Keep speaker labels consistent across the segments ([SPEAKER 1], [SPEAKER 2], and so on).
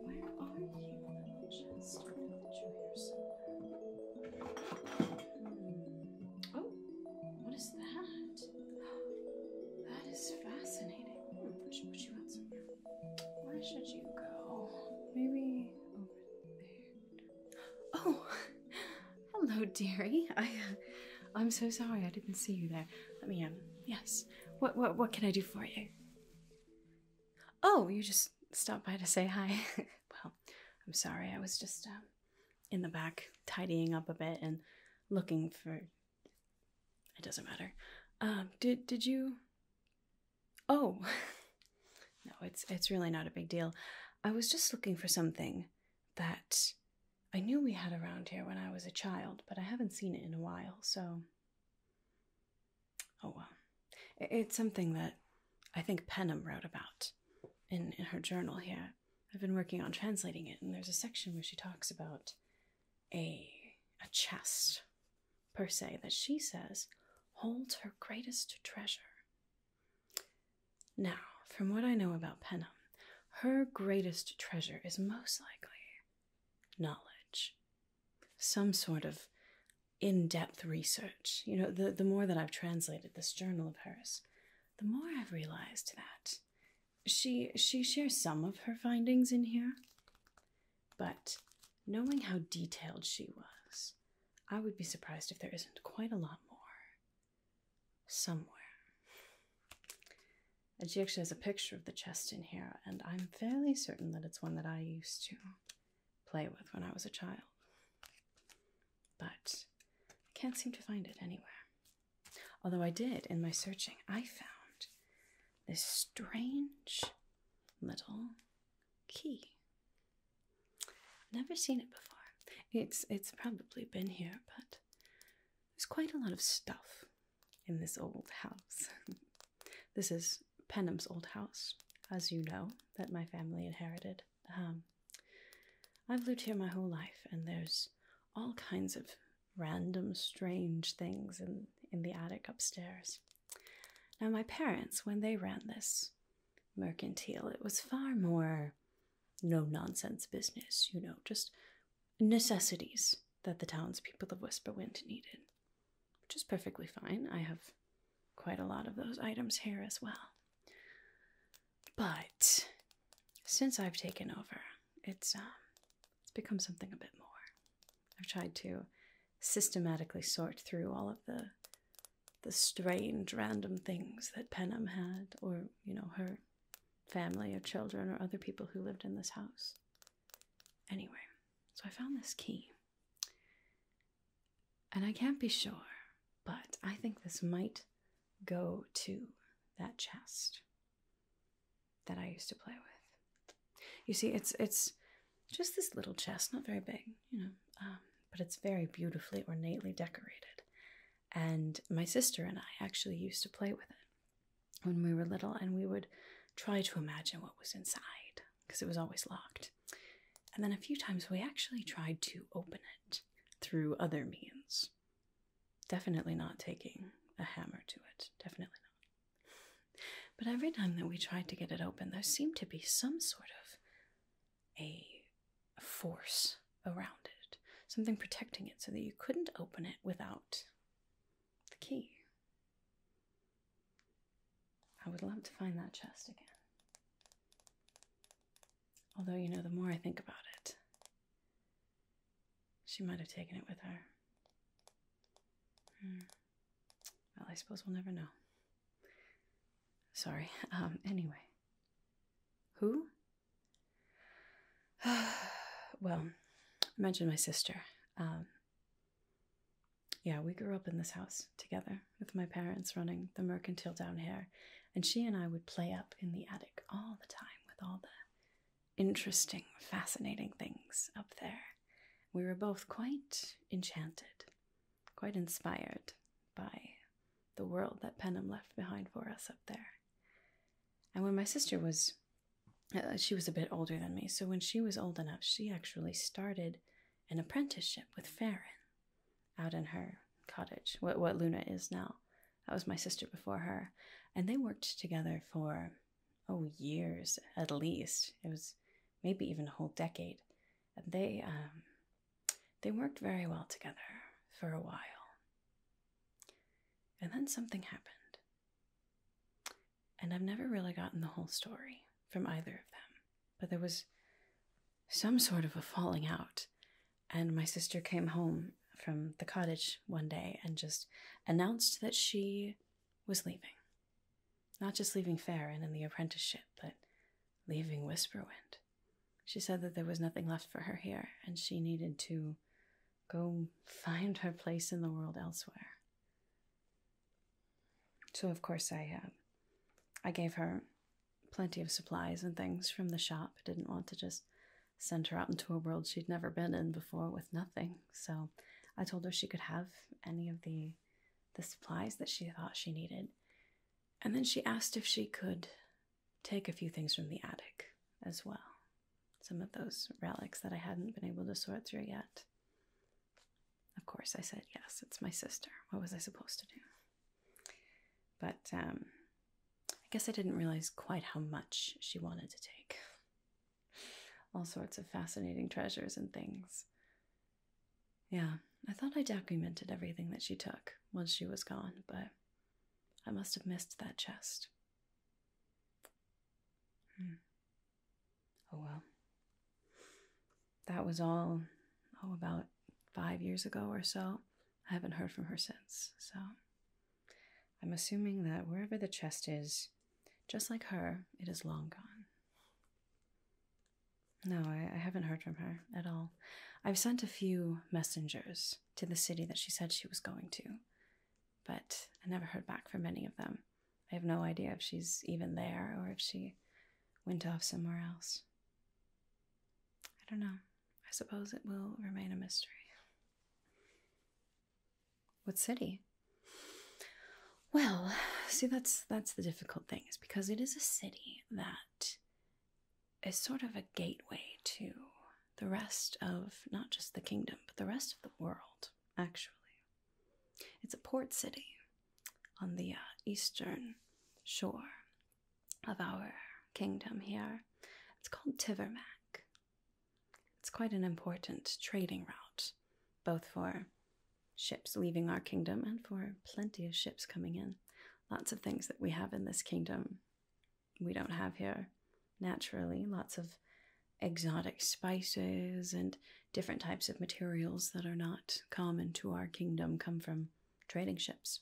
[SPEAKER 1] Where are you, little chest? Oh, what is that? That is fascinating. Hmm, Where should you go? Maybe over there. Oh, hello, dearie. I, uh, I'm so sorry I didn't see you there. Let me um. Yes. What what what can I do for you? Oh, you just Stop by to say hi. well, I'm sorry, I was just um, in the back tidying up a bit and looking for. It doesn't matter. Um, did did you? Oh, no, it's it's really not a big deal. I was just looking for something that I knew we had around here when I was a child, but I haven't seen it in a while, so oh well. It's something that I think Penham wrote about in, in her journal here. I've been working on translating it, and there's a section where she talks about a, a chest, per se, that she says holds her greatest treasure. Now, from what I know about Penham, her greatest treasure is most likely knowledge some sort of in-depth research you know the, the more that i've translated this journal of hers the more i've realized that she she shares some of her findings in here but knowing how detailed she was i would be surprised if there isn't quite a lot more somewhere and she actually has a picture of the chest in here and i'm I'm fairly certain that it's one that I used to play with when I was a child, but I can't seem to find it anywhere. Although I did in my searching, I found this strange little key. Never seen it before. It's it's probably been here, but there's quite a lot of stuff in this old house. This is Penham's old house, as you know, that my family inherited. Um, I've lived here my whole life, and there's all kinds of random, strange things in, in the attic upstairs. Now, my parents, when they ran this mercantile, it was far more no nonsense business, you know, just necessities that the townspeople of Whisperwind needed which is perfectly fine. I have quite a lot of those items here as well. But since I've taken over, it's um, it's become something a bit more. I've tried to systematically sort through all of the the strange random things that Penham had or, you know, her family or children or other people who lived in this house. Anyway, so I found this key. And I can't be sure, but I think this might go to that chest that I used to play with. You see, it's it's just this little chest, not very big, you know, um, but it's very beautifully ornately decorated. And my sister and I actually used to play with it when we were little and we would try to imagine what was inside because it was always locked. And then a few times we actually tried to open it through other means. Definitely not taking a hammer to it. Definitely not. But every time that we tried to get it open, there seemed to be some sort of a force around it, something protecting it so that you couldn't open it without the key. I would love to find that chest again. Although, you know, the more I think about it, she might have taken it with her. Hmm. Well, I suppose we'll never know. Sorry. Um, anyway. Who? well, I mentioned my sister. Um, yeah, we grew up in this house together with my parents running the mercantile down here. And she and I would play up in the attic all the time with all the interesting, fascinating things up there. We were both quite enchanted, quite inspired by the world that Penham left behind for us up there. And when my sister was uh, she was a bit older than me, so when she was old enough, she actually started an apprenticeship with Farron out in her cottage, what, what Luna is now. That was my sister before her. And they worked together for, oh, years at least. It was maybe even a whole decade. And they, um, they worked very well together for a while. And then something happened. And I've never really gotten the whole story from either of them, but there was some sort of a falling out. And my sister came home from the cottage one day and just announced that she was leaving. Not just leaving Farron and the apprenticeship, but leaving Whisperwind. She said that there was nothing left for her here and she needed to go find her place in the world elsewhere. So of course I um, I gave her plenty of supplies and things from the shop. Didn't want to just send her out into a world she'd never been in before with nothing. So I told her she could have any of the the supplies that she thought she needed. And then she asked if she could take a few things from the attic as well. Some of those relics that I hadn't been able to sort through yet. Of course, I said yes, it's my sister. What was I supposed to do? But um, I guess I didn't realize quite how much she wanted to take. All sorts of fascinating treasures and things. Yeah, I thought I documented everything that she took once she was gone, but I must have missed that chest. Hmm. Oh well. That was all, oh, about five years ago or so. I haven't heard from her since, so I'm assuming that wherever the chest is, just like her, it is long gone. No, I haven't heard from her at all. I've sent a few messengers to the city that she said she was going to, but I never heard back from any of them. I have no idea if she's even there or if she went off somewhere else. I don't know. I suppose it will remain a mystery. What city? Well, see that's that's the difficult thing is because it is a city that is sort of a gateway to the rest of not just the kingdom, but the rest of the world, actually. It's a port city on the uh, eastern shore of our kingdom here. It's called Tivermac. It's quite an important trading route, both for ships leaving our kingdom and for plenty of ships coming in. Lots of things that we have in this kingdom we don't have here naturally. Lots of exotic spices and different types of materials that are not common to our kingdom come from trading ships,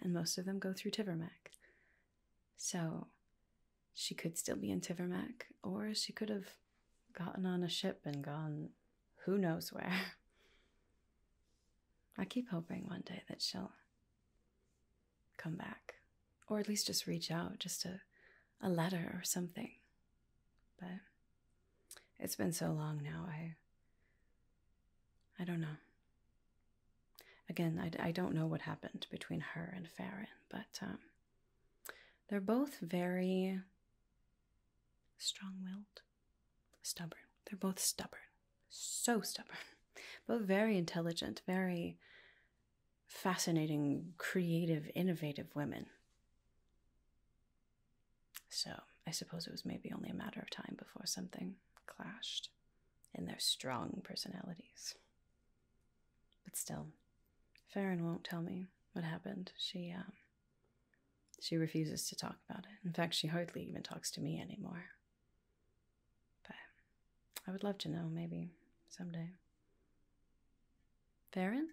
[SPEAKER 1] and most of them go through Tivermac. So she could still be in Tivermac, or she could have gotten on a ship and gone who knows where. I keep hoping one day that she'll come back or at least just reach out just a, a letter or something but it's been so long now i i don't know again i, I don't know what happened between her and farron but um, they're both very strong-willed stubborn they're both stubborn so stubborn, but very intelligent, very fascinating, creative, innovative women. So I suppose it was maybe only a matter of time before something clashed in their strong personalities. But still, Farron won't tell me what happened. She, um, she refuses to talk about it. In fact, she hardly even talks to me anymore. But I would love to know, maybe someday. Farron?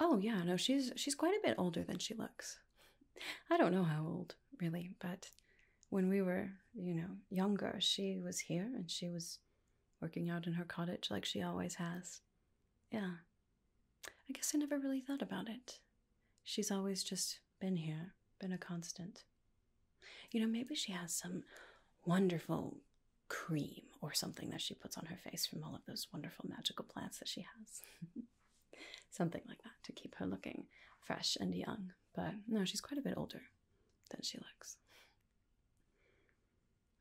[SPEAKER 1] Oh yeah, no, she's she's quite a bit older than she looks. I don't know how old, really, but when we were, you know, younger, she was here and she was working out in her cottage like she always has. Yeah. I guess I never really thought about it. She's always just been here, been a constant. You know, maybe she has some wonderful cream or something that she puts on her face from all of those wonderful magical plants that she has. something like that to keep her looking fresh and young. But no, she's quite a bit older than she looks.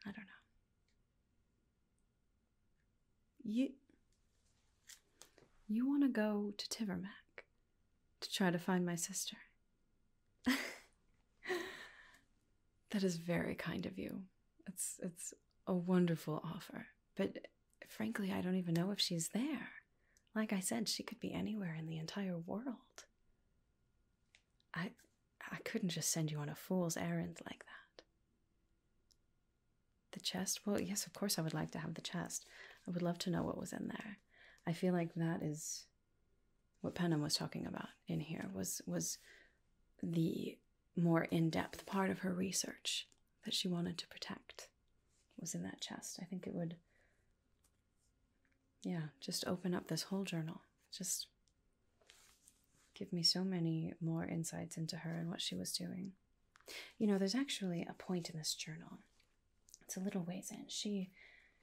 [SPEAKER 1] I don't know. You you want to go to Tivermac? to try to find my sister. that is very kind of you. It's it's a wonderful offer. But frankly, I don't even know if she's there. Like I said, she could be anywhere in the entire world. I I couldn't just send you on a fool's errand like that. The chest? Well, yes, of course, I would like to have the chest. I would love to know what was in there. I feel like that is what Penham was talking about in here was was the more in-depth part of her research that she wanted to protect was in that chest. I think it would yeah, just open up this whole journal. Just give me so many more insights into her and what she was doing. You know, there's actually a point in this journal. It's a little ways in. She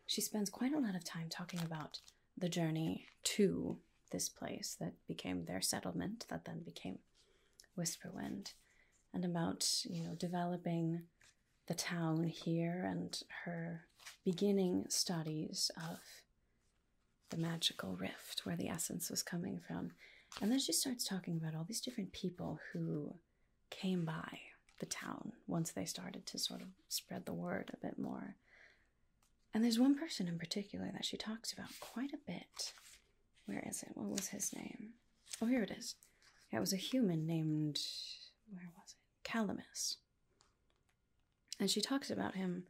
[SPEAKER 1] she spends quite a lot of time talking about the journey to this place that became their settlement, that then became Whisperwind, and about, you know, developing the town here and her beginning studies of the magical rift where the essence was coming from and then she starts talking about all these different people who came by the town once they started to sort of spread the word a bit more. And there's one person in particular that she talks about quite a bit. Where is it? What was his name? Oh, here it is. it was a human named, where was it? Calamus. And she talks about him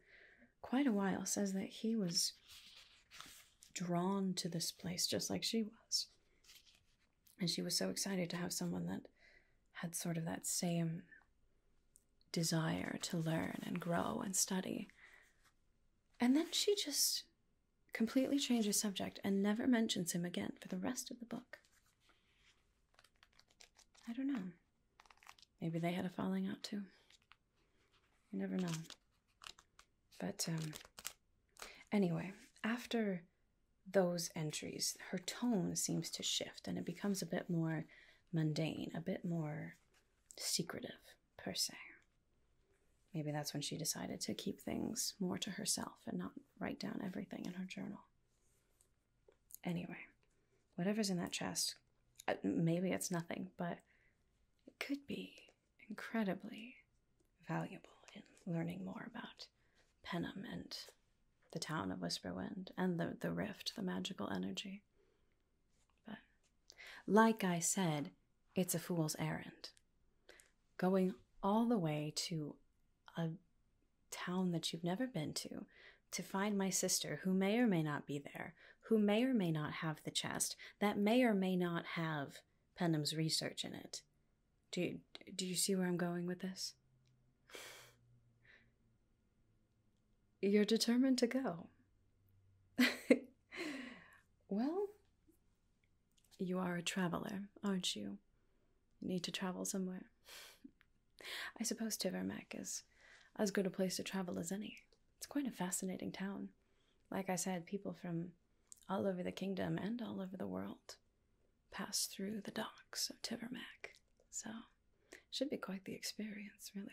[SPEAKER 1] quite a while, says that he was drawn to this place just like she was. And she was so excited to have someone that had sort of that same desire to learn and grow and study. And then she just completely changes subject and never mentions him again for the rest of the book. I don't know. Maybe they had a falling out too. You never know. But um, anyway, after those entries, her tone seems to shift and it becomes a bit more mundane, a bit more secretive, per se. Maybe that's when she decided to keep things more to herself and not write down everything in her journal. Anyway, whatever's in that chest, uh, maybe it's nothing, but it could be incredibly valuable in learning more about Penham and the town of Whisperwind and the, the rift, the magical energy. But, like I said, it's a fool's errand. Going all the way to a town that you've never been to to find my sister, who may or may not be there, who may or may not have the chest that may or may not have Penham's research in it. Do you, do you see where I'm going with this? You're determined to go. well, you are a traveler, aren't you? You need to travel somewhere. I suppose Tivermek is as good a place to travel as any. It's quite a fascinating town like I said, people from all over the kingdom and all over the world pass through the docks of Tivermac. So, should be quite the experience, really.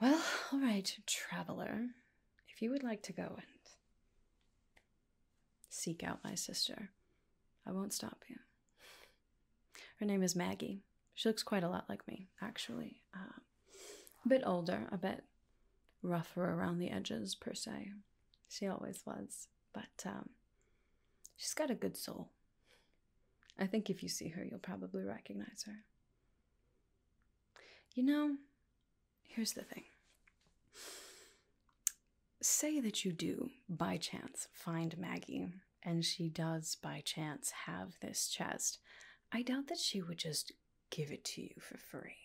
[SPEAKER 1] Well, all right, traveler, if you would like to go and seek out my sister, I won't stop you. Her name is Maggie. She looks quite a lot like me, actually. Um, a bit older, a bit rougher around the edges, per se. She always was. But um, she's got a good soul. I think if you see her, you'll probably recognize her. You know, here's the thing. Say that you do, by chance, find Maggie and she does by chance have this chest, I doubt that she would just give it to you for free.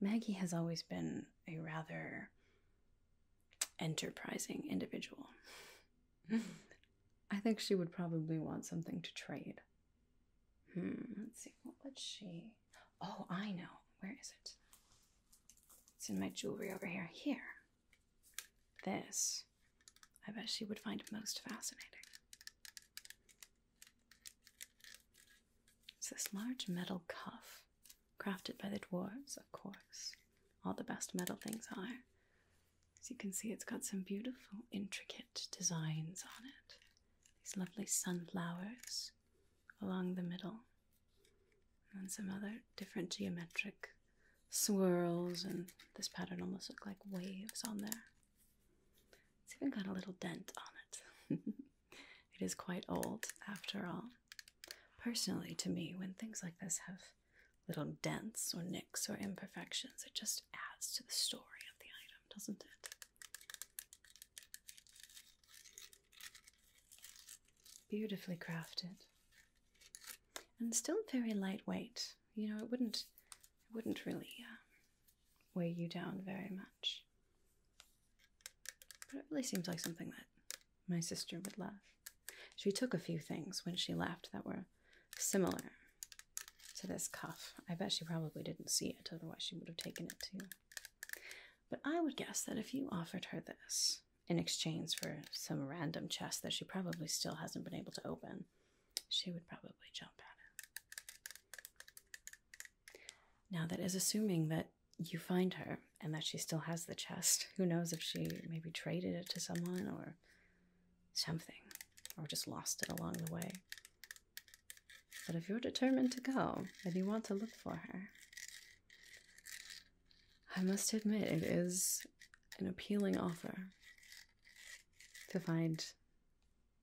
[SPEAKER 1] Maggie has always been a rather enterprising individual. I think she would probably want something to trade. Hmm, let's see, what would she? Oh, I know. Where is it? It's in my jewelry over here. Here. This, I bet she would find most fascinating. It's this large metal cuff, crafted by the dwarves, of course. All the best metal things are. As you can see, it's got some beautiful, intricate designs on it. These lovely sunflowers along the middle, and some other different geometric swirls, and this pattern almost looks like waves on there. It's even got a little dent on it. it is quite old, after all. Personally, to me, when things like this have little dents or nicks or imperfections, it just adds to the story of the item, doesn't it? Beautifully crafted and still very lightweight. You know, it wouldn't it wouldn't really uh, weigh you down very much. But it really seems like something that my sister would love. She took a few things when she left that were similar to this cuff. I bet she probably didn't see it, otherwise she would have taken it too. But I would guess that if you offered her this, in exchange for some random chest that she probably still hasn't been able to open, she would probably jump at it. Now, that is assuming that you find her and that she still has the chest. Who knows if she maybe traded it to someone or something, or just lost it along the way. But if you're determined to go and you want to look for her, I must admit, it is an appealing offer to find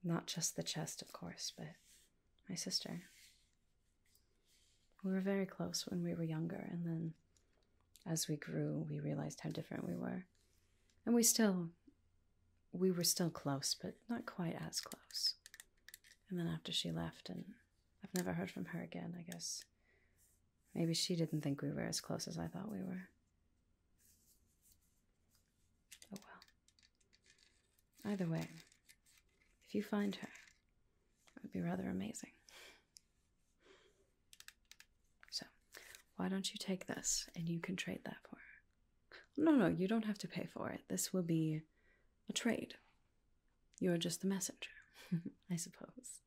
[SPEAKER 1] not just the chest, of course, but my sister. We were very close when we were younger, and then as we grew, we realized how different we were. And we still, we were still close, but not quite as close. And then after she left, and I've never heard from her again, I guess Maybe she didn't think we were as close as I thought we were. Oh well. Either way, if you find her, it would be rather amazing. So, why don't you take this and you can trade that for her? No, no, you don't have to pay for it. This will be a trade. You're just the messenger, I suppose.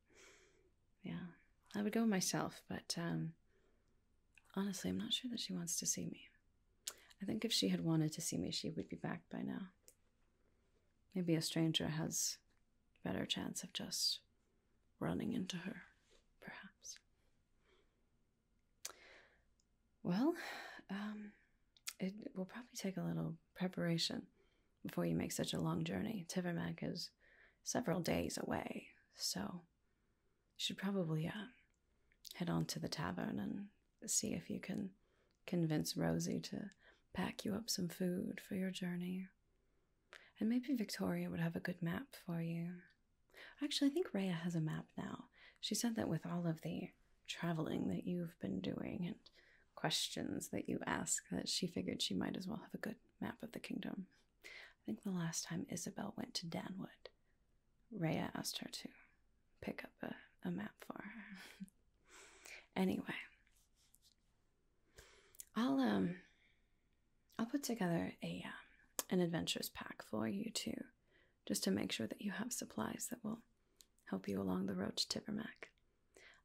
[SPEAKER 1] Yeah, I would go myself, but um, honestly, I'm not sure that she wants to see me. I think if she had wanted to see me, she would be back by now. Maybe a stranger has better chance of just running into her, perhaps. Well, um, it will probably take a little preparation before you make such a long journey. Tivermac is several days away, so you should probably uh, head on to the tavern and see if you can convince Rosie to pack you up some food for your journey. And maybe Victoria would have a good map for you. Actually, I think Raya has a map now. She said that with all of the traveling that you've been doing and questions that you ask that she figured she might as well have a good map of the kingdom. I think the last time Isabel went to Danwood, Rhea asked her to pick up a, a map for her. anyway, I'll um I'll put together a um, an adventures pack for you too, just to make sure that you have supplies that will help you along the road to Tivermac.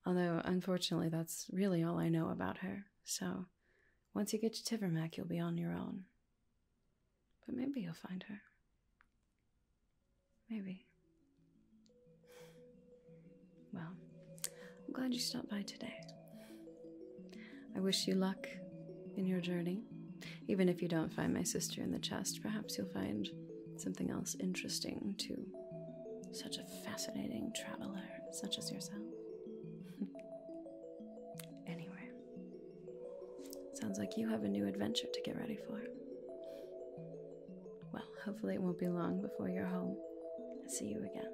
[SPEAKER 1] Although, unfortunately, that's really all I know about her, so once you get to Tivermac, you'll be on your own. But maybe you'll find her. Maybe. Well, I'm glad you stopped by today. I wish you luck in your journey. Even if you don't find my sister in the chest, perhaps you'll find something else interesting to such a a fascinating traveler such as yourself. anyway, sounds like you have a new adventure to get ready for. Well, hopefully, it won't be long before you're home. I see you again.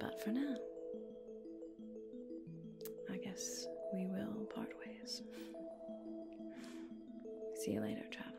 [SPEAKER 1] But for now, I guess we will part ways. See you later, traveler.